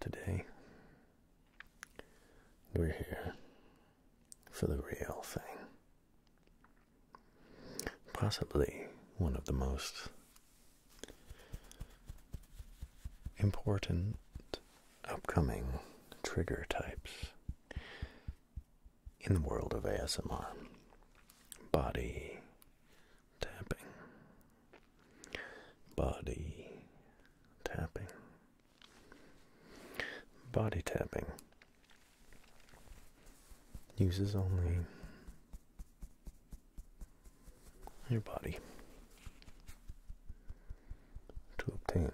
Today, we're here for the real thing. Possibly one of the most important upcoming trigger types in the world of ASMR body tapping, body tapping, body tapping uses only your body to obtain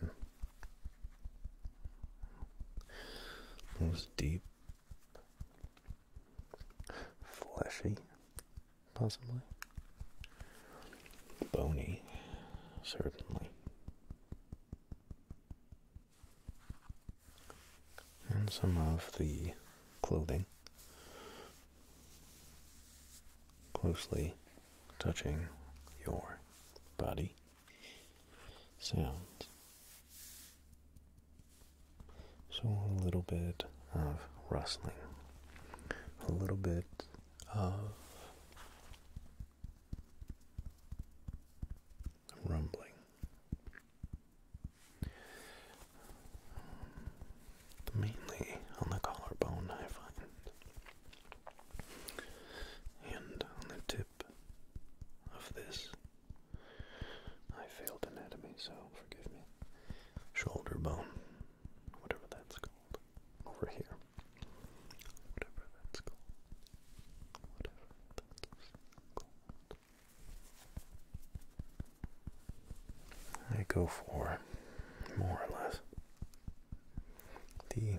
those deep, fleshy possibly. Bony, certainly. And some of the clothing closely touching your body sounds so a little bit of rustling, a little bit of rumbling. Mainly on the collarbone, I find. And on the tip of this. I failed anatomy, so forgive me shoulder bone, whatever that's called, over here. Whatever that's called. Whatever that's called. I go for more or less the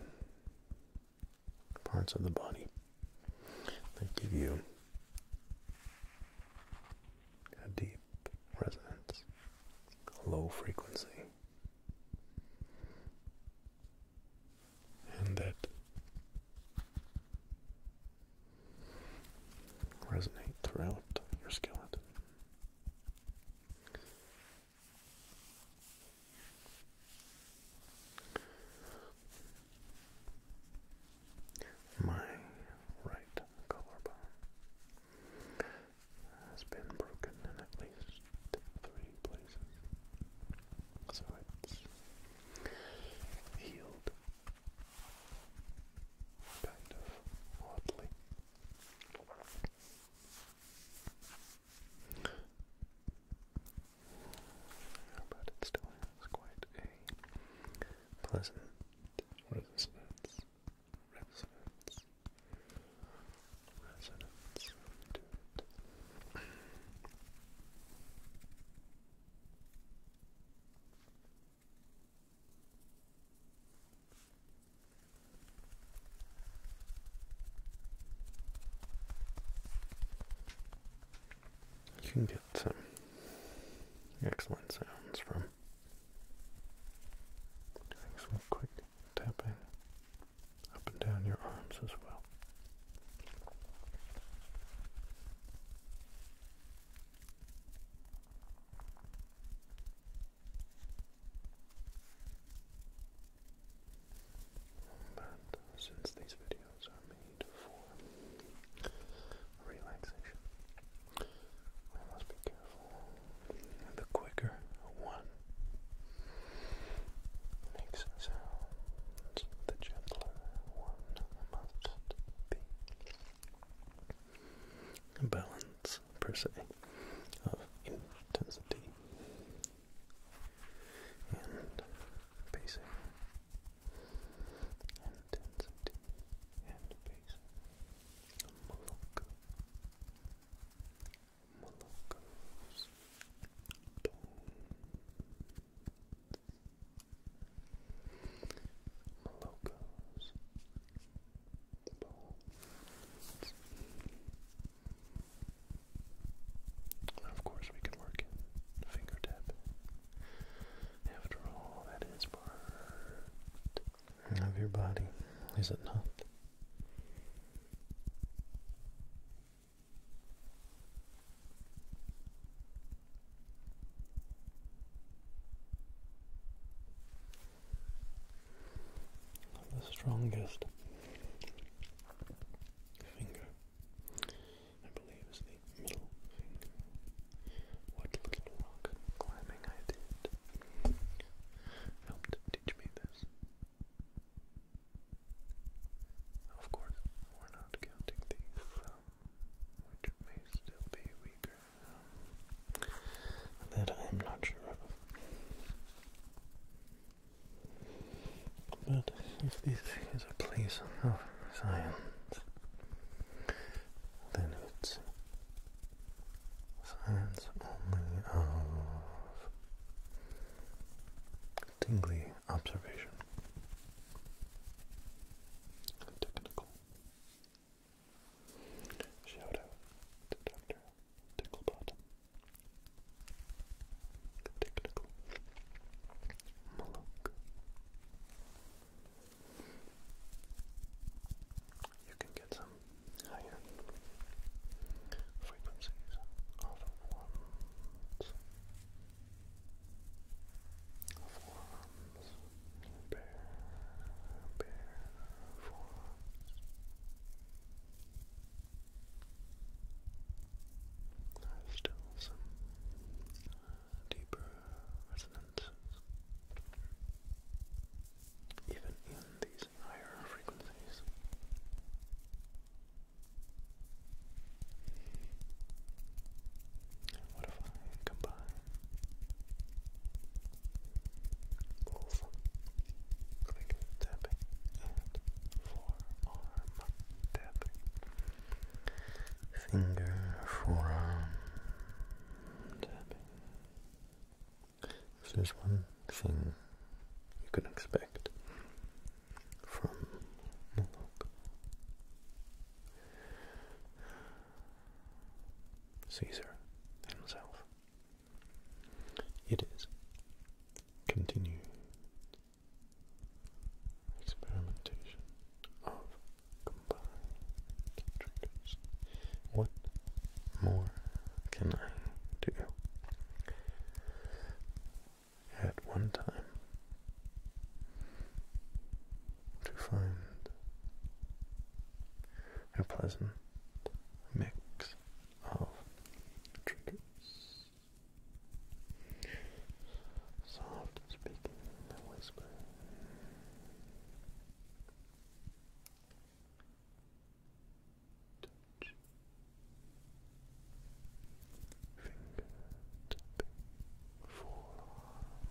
parts of the body that give you a deep resonance, low frequency. And that resonate throughout your skeleton. My right collarbone has been broken in at least three places, so it's healed kind of oddly. But it still has quite a pleasant resonance, resonance, resonance You can get some excellent sounds from doing some quick tapping up and down your arms as well. But since these videos are made for relaxation. must be careful. The quicker one makes sounds, the gentler one must be. A balance, per se, of intensity and pacing and intensity and pace. Malacca. Malacca's Malacca's bones. Of course, we can work in fingertip after all, that is part of your body, is it not? The strongest finger, believe is What little rock climbing I did helped teach me this. Of course, we're not counting the um, which may still be weaker. Um, that I'm not sure of. But if this is a place of science, then it's signs only of tingly observation. Technical. Shout out to Dr. Technical. Maluk. You can get some higher frequencies of ones, of ones, bear, bear, forms. There's still some deeper resonances. Even in these higher frequencies. what if I combine both click tapping and forearm tapping? finger, forearm, tapping. If there's one thing you can expect from Caesar himself, it is continued experimentation of combined triggers. What more can I do? At one time, to find a pleasant mix of triggers. Soft speaking in a whisper. Finger tapping. Forearm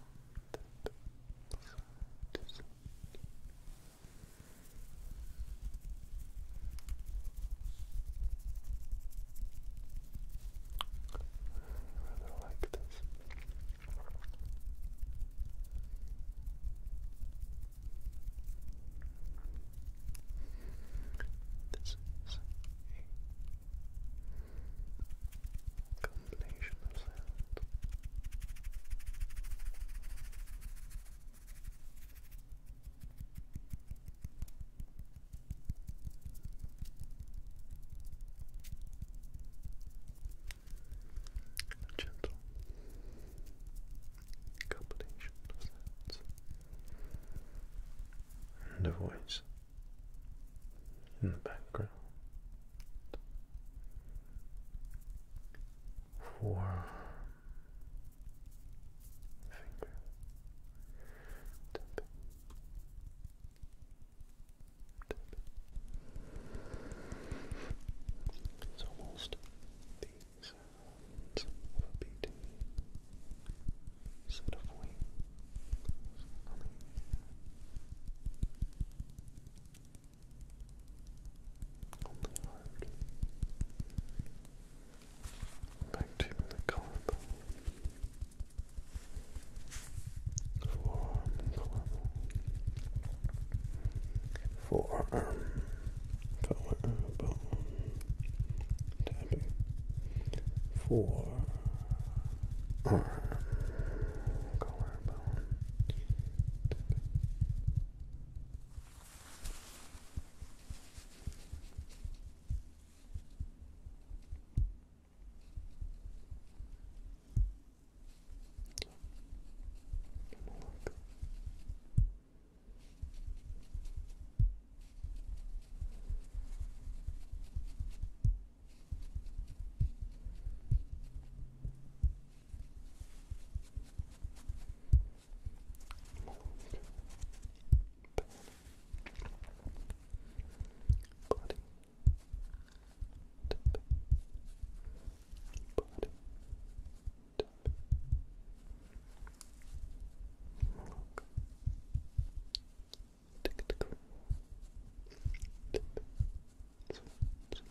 tap. side. I rather like this this is a combination of sound. A gentle combination of sounds and a voice in the background for finger tapping. It's almost the sounds beating set of wings on the only hard. Back to the collarbone. Four, color, bone, tapping. Forearm, color, bone, tapping look. Bloody tip, body, tip, milk, tick, tick, tip, tip, tip. Tip,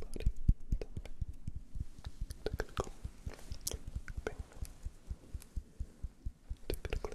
body, technical, pain, technical, super. Good.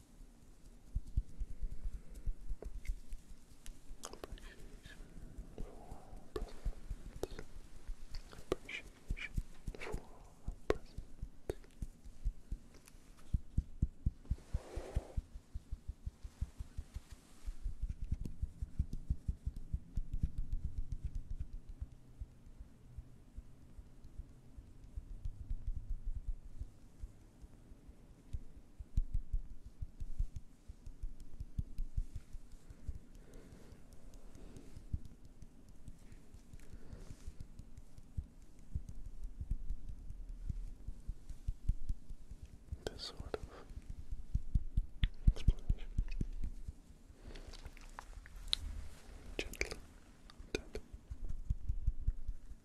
Appreciation for present. Appreciation this sort of explanation. Gentle tap.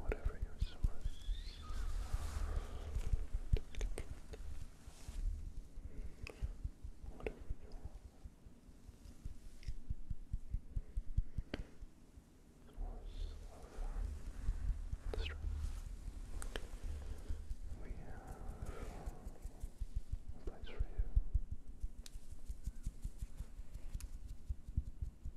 whatever your source whatever you source of strength we have a place for you.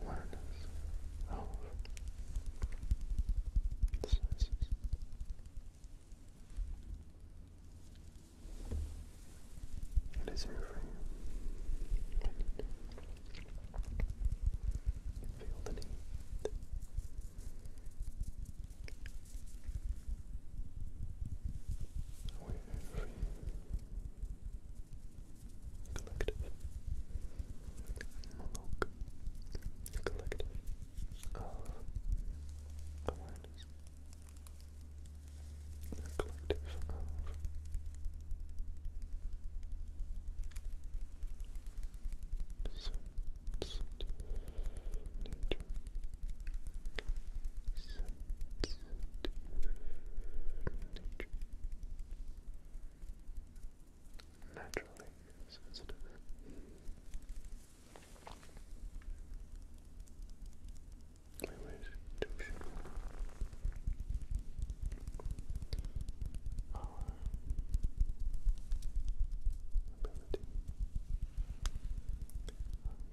awareness of senses. It is every Feel the need we're free. Collective. Monologue. Collective of awareness. Collective of sensitive nature nature. Naturally sensitive. We wish to show our ability left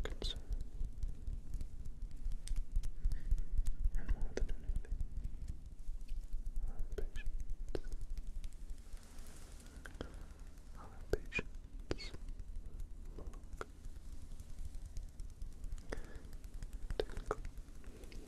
concern. And more than anything, patience. Our patience. Mark. Technical. Technically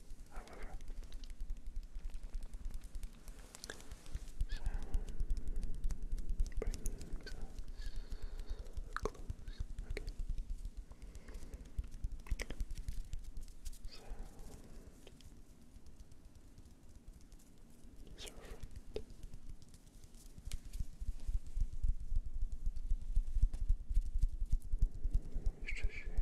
however. So brings us close again. Sound. Servant. Moisture share.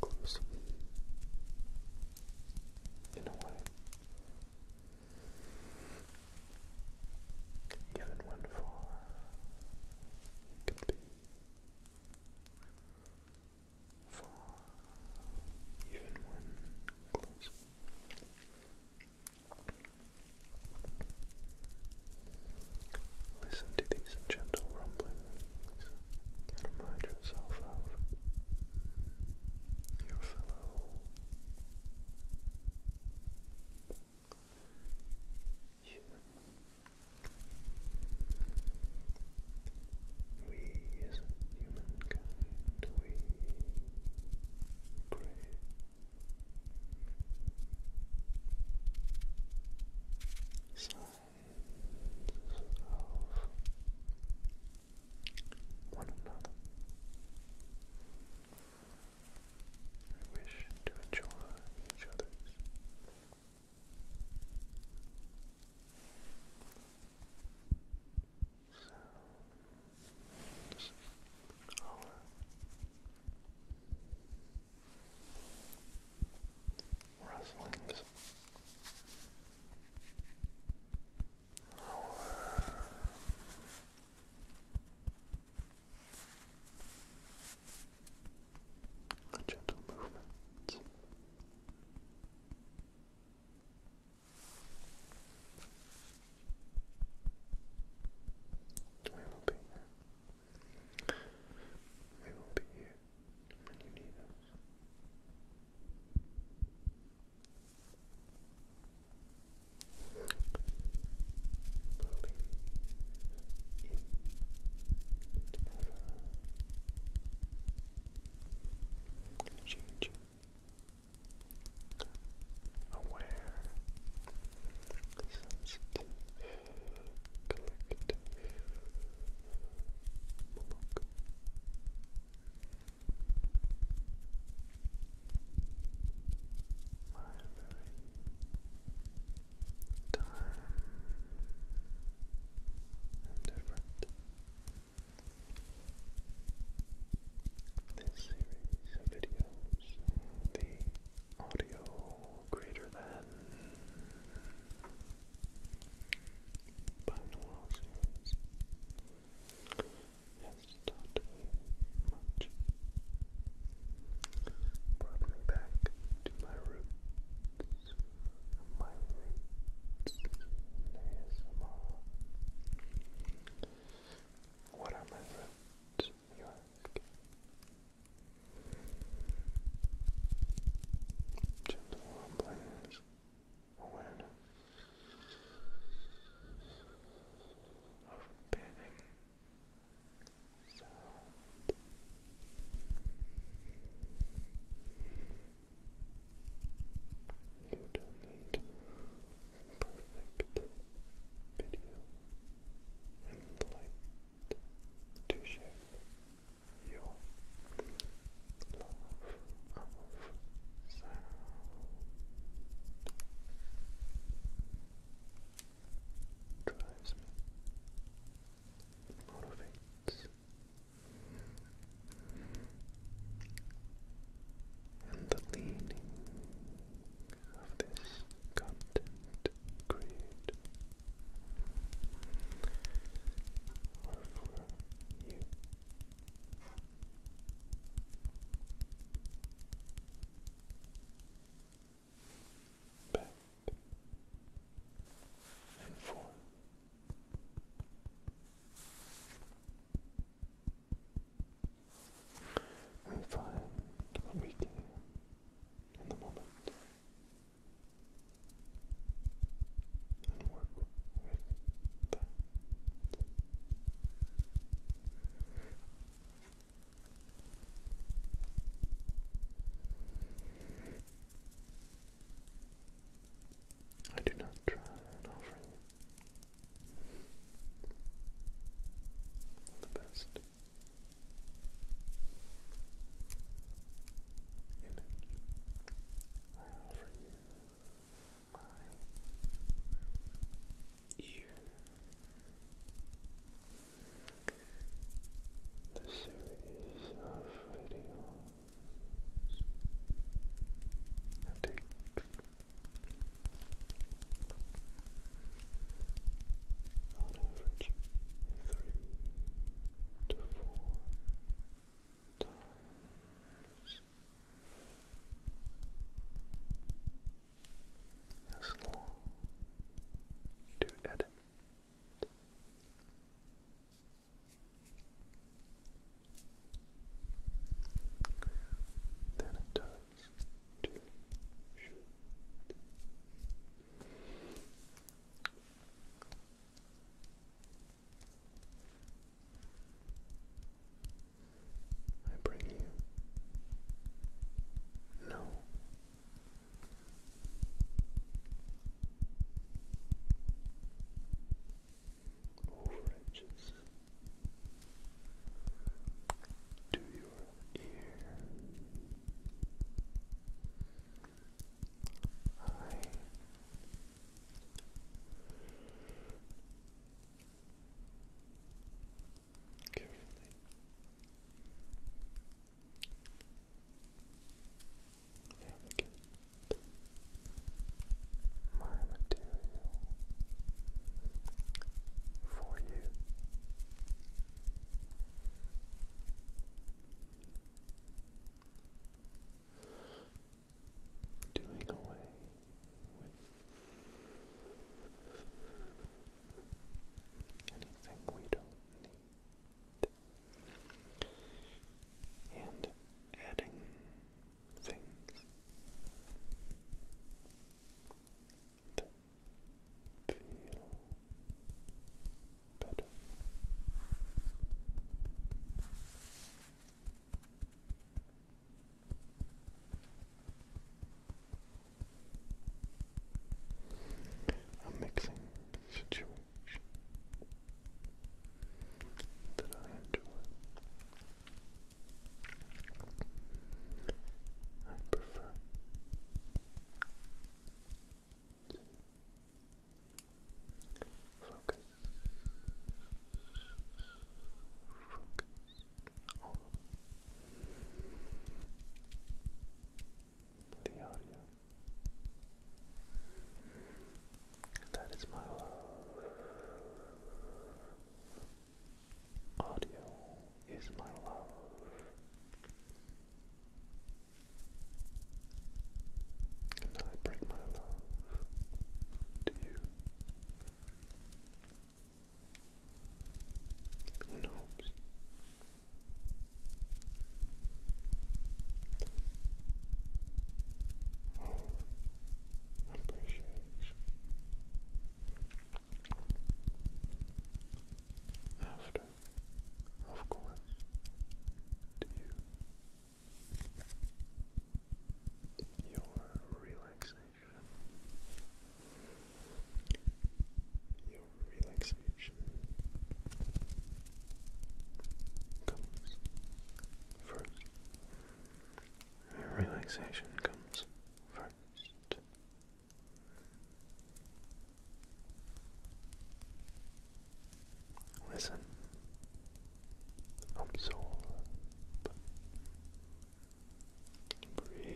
Close. In a way. Given one for could be for even one close. Listen to these gentle rumblings remind yourself of your fellow human. We as humankind, we pray. Sigh of one another. I wish to enjoy each other's sounds, color, rustlings. Oh. gentle movement. We will be here. We will be here when you need us. Believe in ever changing, aware, sensitive, collective Moloch. time different. This series of videos, the audio greater than binaural series has taught me much. Brought me back to my roots, my roots What are my roots? York. Gentle rumblings, awareness of bathing sound. You do perfect video and light to shape your love of sound. Drives me, motivates, and the leaning of this content creator or for you. Back and forth. And find what we in the moment and I do not try and offer you the best. Image. I offer you my ear. The series of videos I on average three to four times as long to edit. Then it does to shoot I bring you no. Overages to your ear. All right. Carefully. my material for you doing away with anything we don't need and adding things feel better. mixing situation that I enjoy. I prefer Focus. Focus. audio. That is my audio is my love. And I bring my love to you. In hopes of oh, appreciation after, of course, to your relaxation, your relaxation comes first. Relaxation comes first. Listen, absorb, breathe,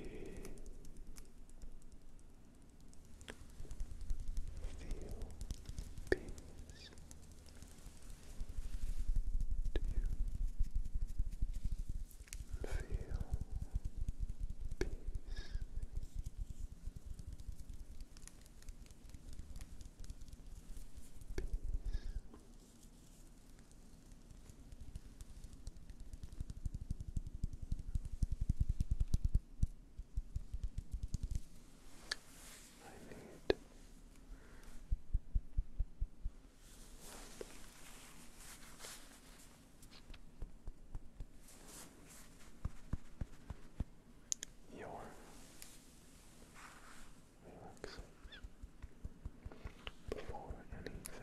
feel peace. Do Feel peace. Peace. I need your relaxation before anything else.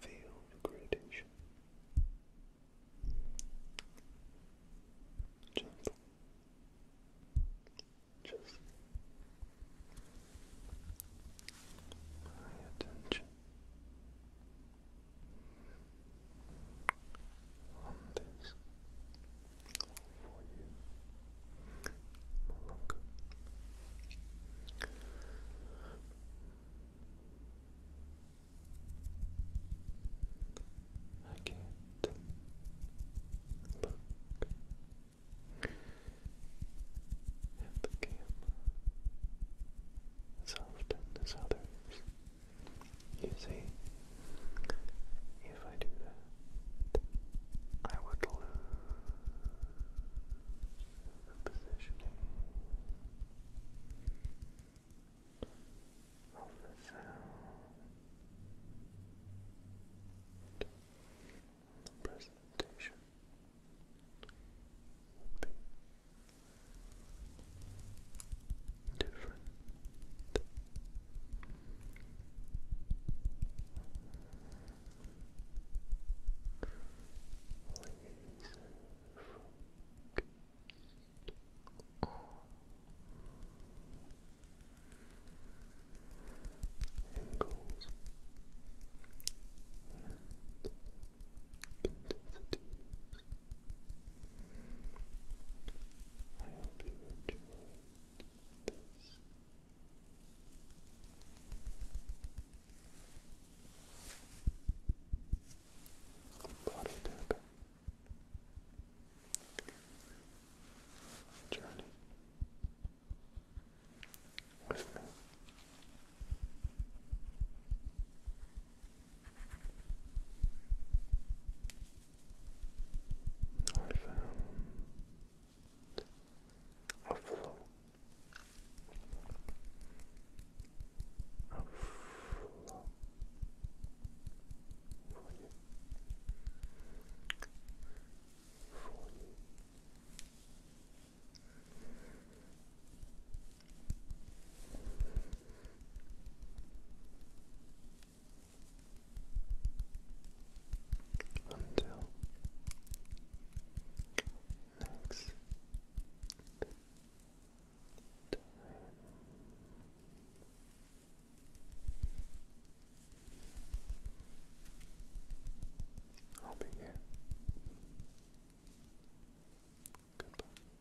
Feel the gradation. Gentle, just my attention on this for you, Malunga. I can't look at the camera as often as others. You see, if I do that, I would lose the positioning of the sound the presentation different. Please angles and intensities. I you Body tapping journey with me. I found a flow a flow for you for you. Until next time. I'll be here. Goodbye.